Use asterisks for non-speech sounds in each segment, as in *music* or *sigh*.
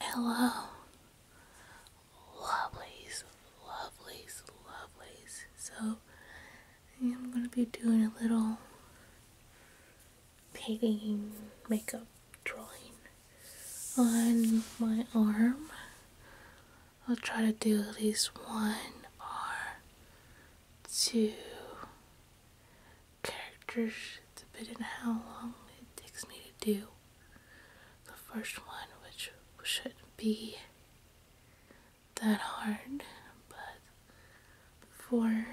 Hello, lovelies, lovelies, lovelies. So, I'm going to be doing a little painting makeup drawing on my arm. I'll try to do at least one or two characters depending how long it takes me to do the first one, which shouldn't be that hard, but before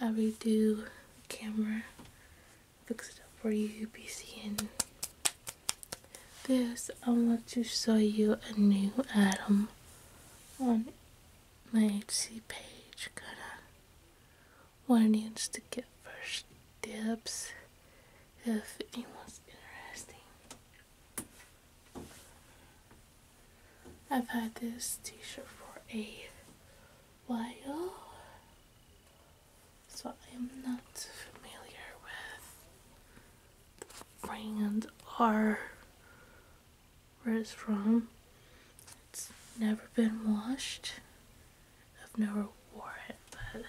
I redo the camera, fix it up for you, you'll be seeing this. I want to show you a new item on my Etsy page, kinda one needs to get first dibs if anyone's interesting. I've had this t-shirt for a while, so I am not familiar with the brand or where it's from. It's never been washed. I've never worn it, but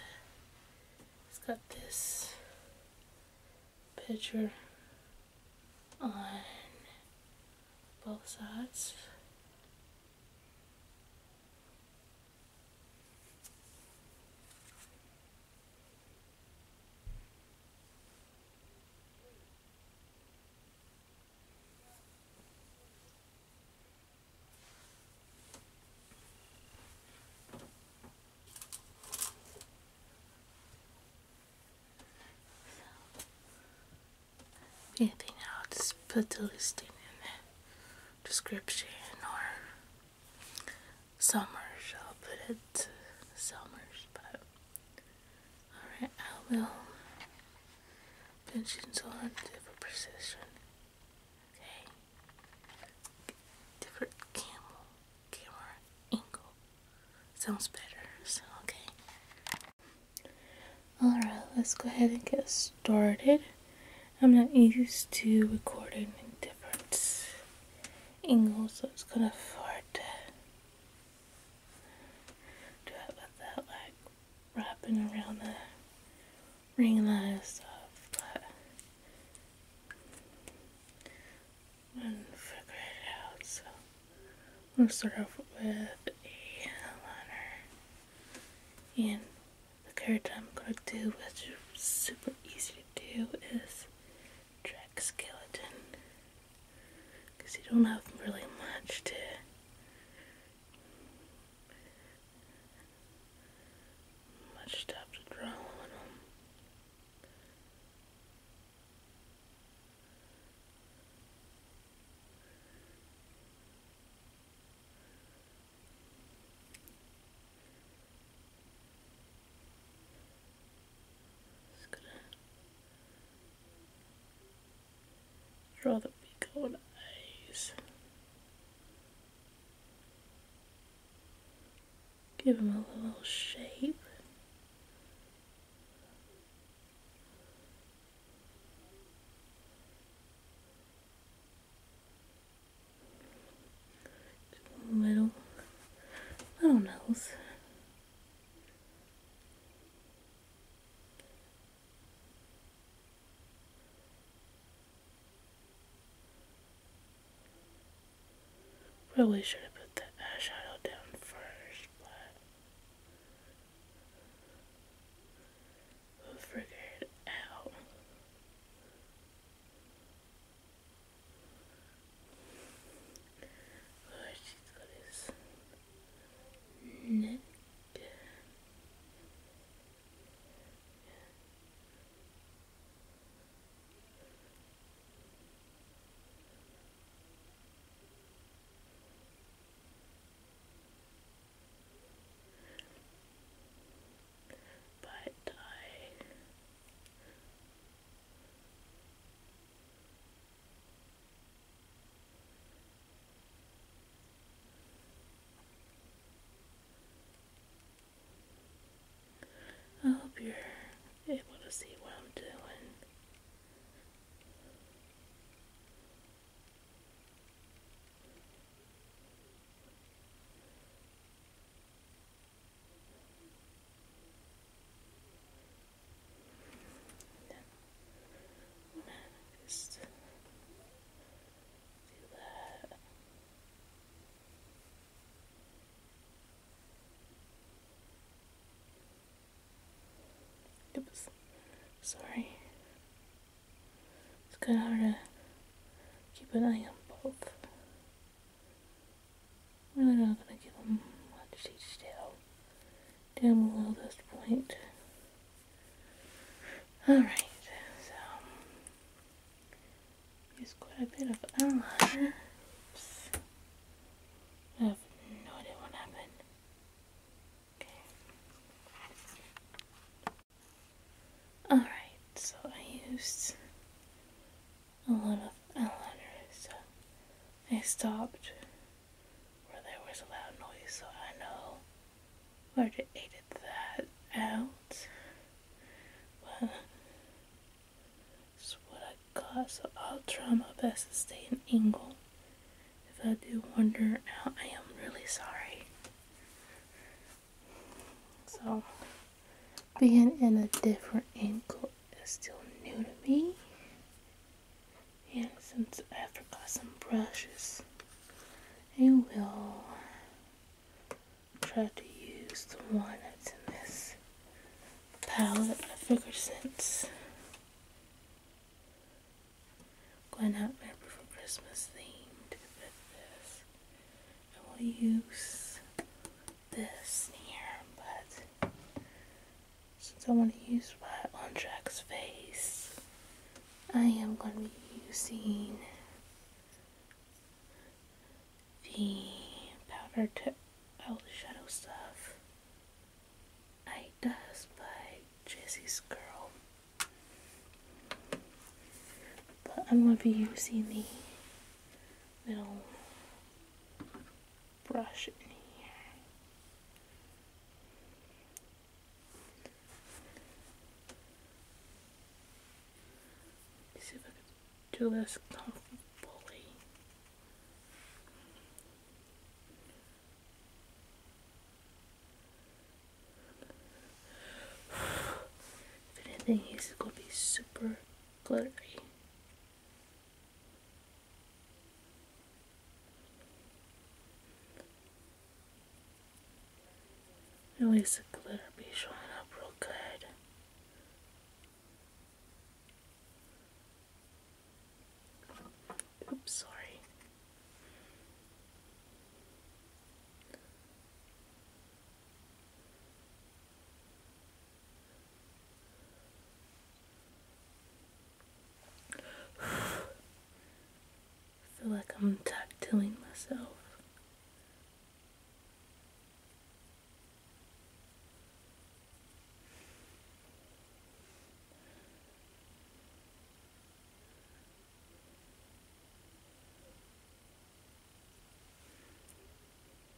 it's got this picture on both sides anything, else? just put the listing in the description or summers. I'll put it summers, but Alright, I will pinch and hold on different precision. Okay. Different camel camera angle. Sounds better, so okay. Alright, let's go ahead and get started. I'm not used to recording in different angles, so it's kind of hard to do it without like wrapping around the ring light stuff, but I didn't it out, so I'm gonna start off with a liner. And the character I'm gonna do, which is super easy to do, is track skeleton because you don't have really much to much stuff to draw on Rather big old eyes. Give him a little shape. little little nose. Probably should have put the shadow down first, but figure it out where she's got his But I I hope you're able to see what I'm doing. Then i Oops, sorry. It's kind of hard to keep an eye on both. We're not gonna give them much detail down below this point. Alright, so use quite a bit of eyeliner. I have no idea what happened. Okay. Alright, so I used a lot of eyeliner, so I stopped where there was a loud noise, so I know where to edit that out. But it's what I got, so I'll try my best to stay in angle. If I do wander out, I am really sorry. So, being in a different angle is still new to me and some to Africa, some brushes, and we'll try to use the one that's in this palette of figure since. Going out there for Christmas themed with this. I will use this here, but since I want to use white on Jack's face, I am going to be using the powder to shadow stuff. I does by Jessie's Girl. But I'm going to be using the little brush in here. see if I can do this comfortably. *sighs* if anything, he's going to be super glittery. At least the glitter be showing up real good. Oops, sorry. *sighs* I feel like I'm tactiling myself.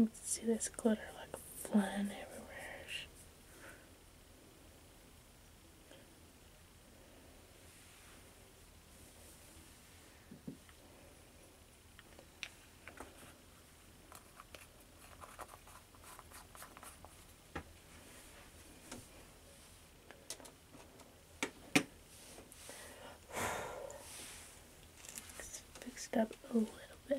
Let's see this glitter like flying everywhere fixed up a little bit.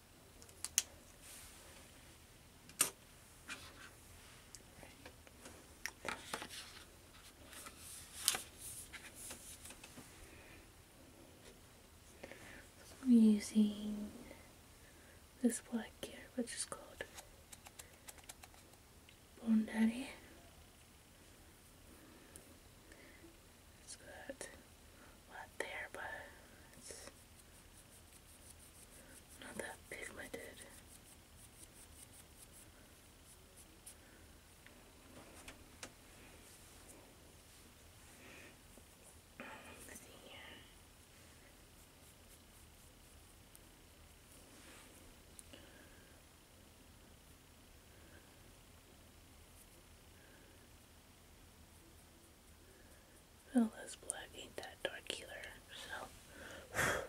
I'm using this black hair, which is called Bondari. It's got a lot there, but it's not that pigmented. Let's see here. Well, this black ain't that dark either, so.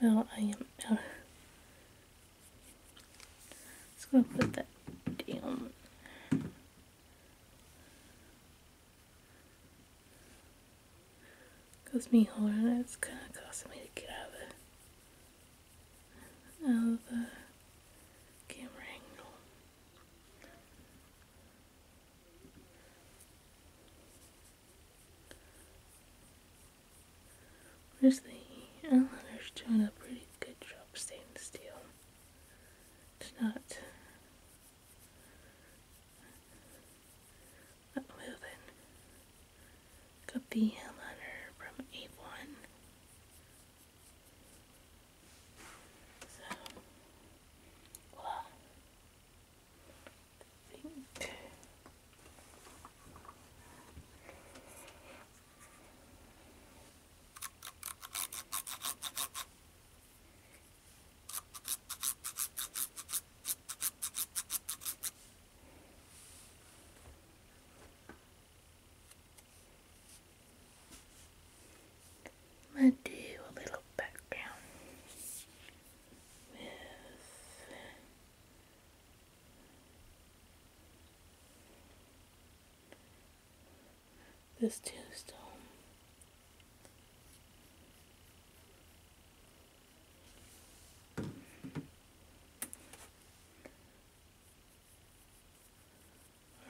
Well, I am out. Let's go put that down. Cause me holding it's gonna costing me to get out of the, out of the camera angle. Where's the Islanders doing a pretty good job staying still. It's not not moving. Got the Hellhunter from A1. So, well, I think I'm going do a little background with this tombstone.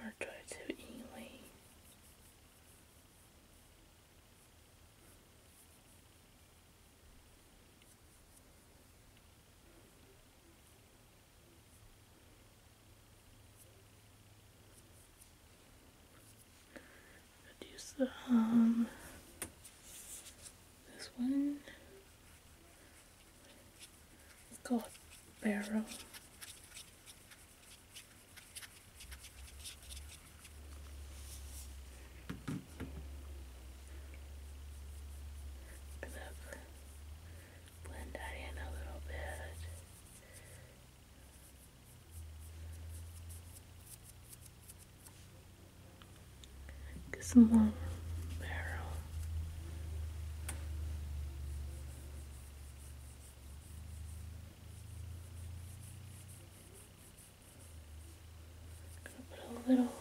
而再就因为，reduce the harm. Um, this one it's barrel. I'm blend that in a little bit. Get some gonna put a little,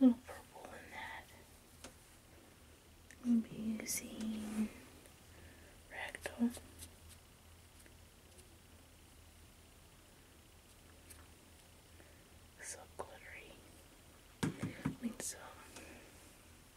little purple in that. i using rectal. So glittery. I so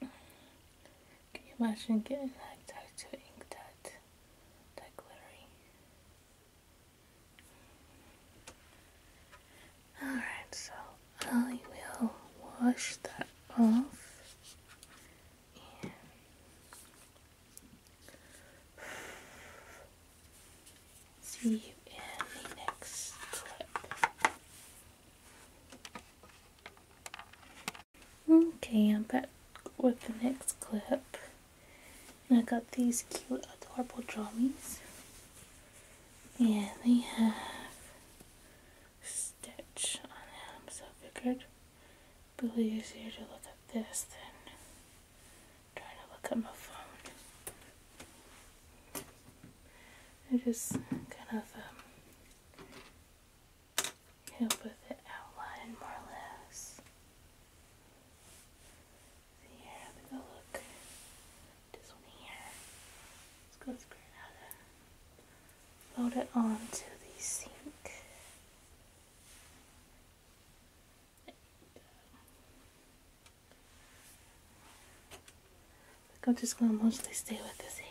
Can you imagine getting that tattoo ink that that glittery? Alright, so I will wash that off See you in the next clip. Okay, I'm back with the next clip. And I got these cute, adorable drawings. And they have Stitch on them, so I figured Billy is here to look at this then trying to look at my phone. I just kind of um, help with the outline more or less. here, I'm look this one here. Let's go screw out. Load it onto the sink. I'm just gonna mostly stay with this head.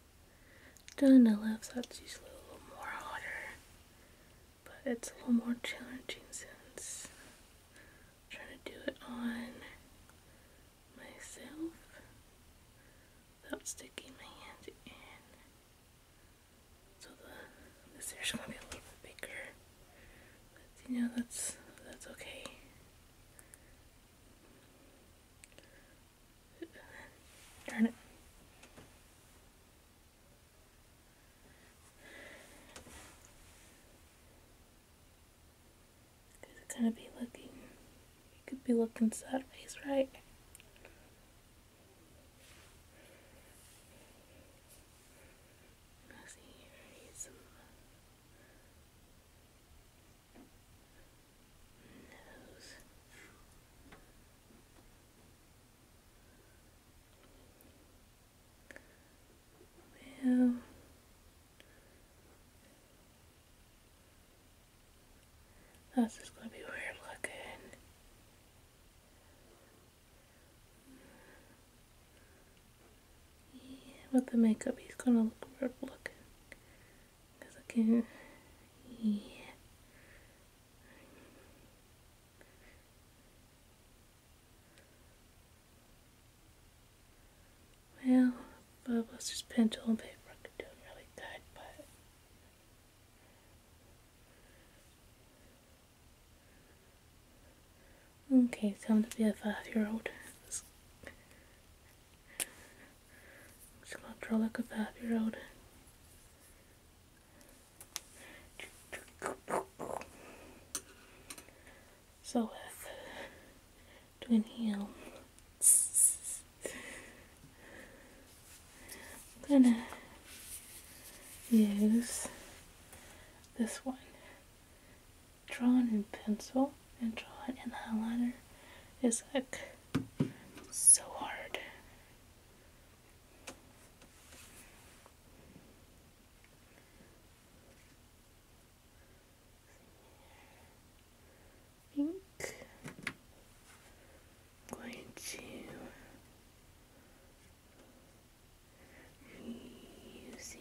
Down on the left side's usually a little more hotter, but it's a little more challenging since I'm trying to do it on myself without sticking my hands in. So the this air's gonna be a little bit bigger. But you know that's that's okay. Darn it. It's gonna be looking, you could be looking to face, right? this is going to be weird looking. Yeah, with the makeup, he's going to look weird looking. Because I yeah. Well, Bubbles' pencil and paper could really good, but Okay, time to be a five year old just gonna draw like a five-year-old. So with doing heel, I'm gonna use this one. Draw in pencil and draw it in the eyeliner It's like so hard. I think going to using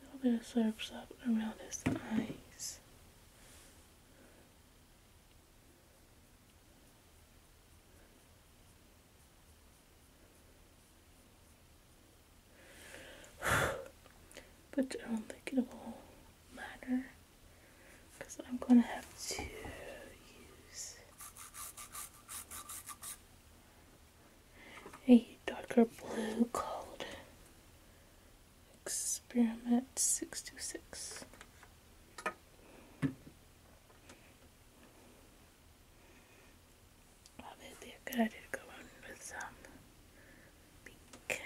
a little bit of slurps up around his eyes. *sighs* but I don't think it will matter because I'm going to have to use a darker blue called Experiment 626. Obviously a good idea to go on with some pink.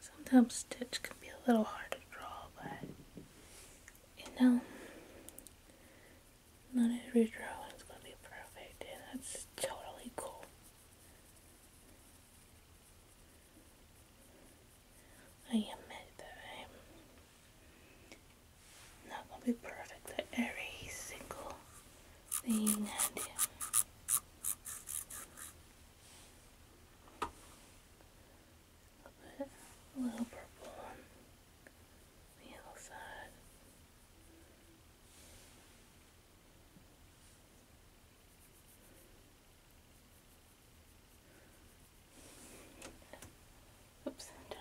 Sometimes stitch can be a little hard to draw, but you know, not every drawing is going to be perfect, and that's totally cool. I admit that I'm that will be perfect for every single thing I a little purple on the other side. Oops, did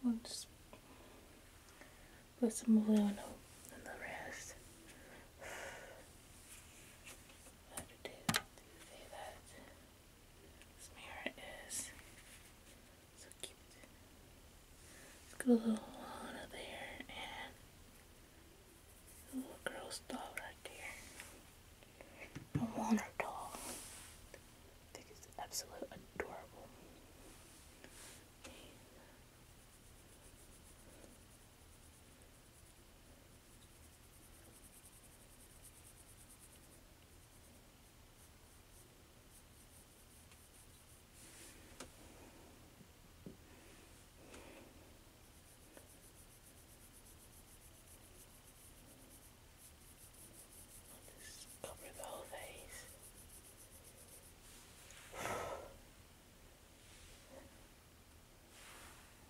Someone just put some blue on the rest. *sighs* How to do, say that? This mirror is so cute. Let's get a little on there and a little girl stop right there a Warner doll. I think it's absolutely adorable. I'll just cover the whole face.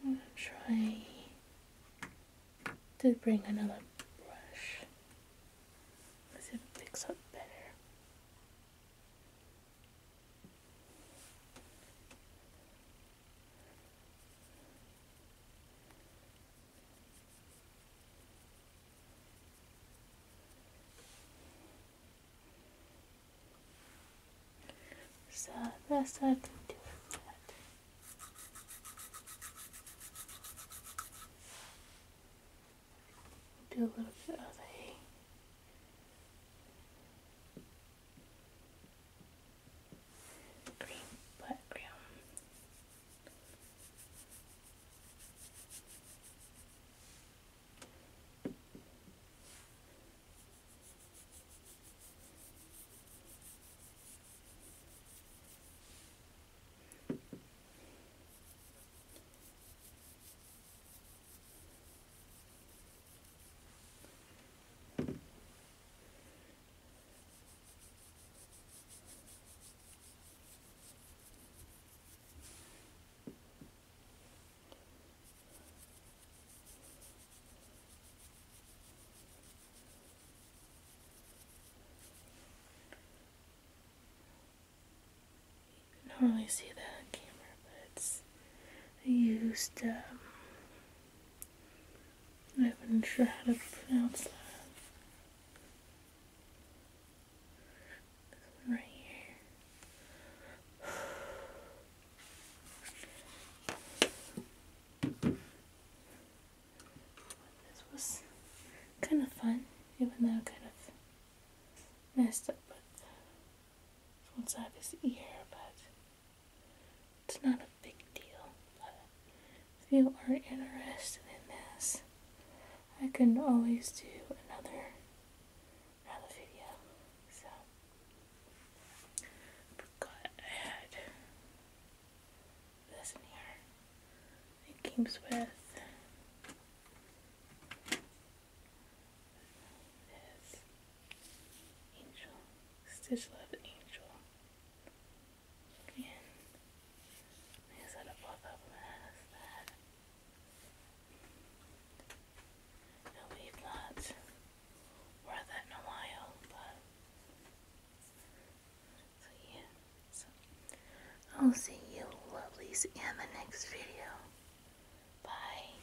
I'm gonna try to bring another brush. let it picks up better. So that's something different. Do a little bit of a green background. You not really see that on camera, but it's I used um, I'm not even sure how to pronounce that. This one right here. This was kind of fun, even though kind of messed up with one side of his ear, but it's not a big deal, but if you are interested in this, I can always do another another video. So forgot I had this in here. It comes with this angel stitch love angel Bien. Yo solo puedo that. No, we've not worn that in a while, but so yeah. So I'll see you lovelies in the next video. Bye.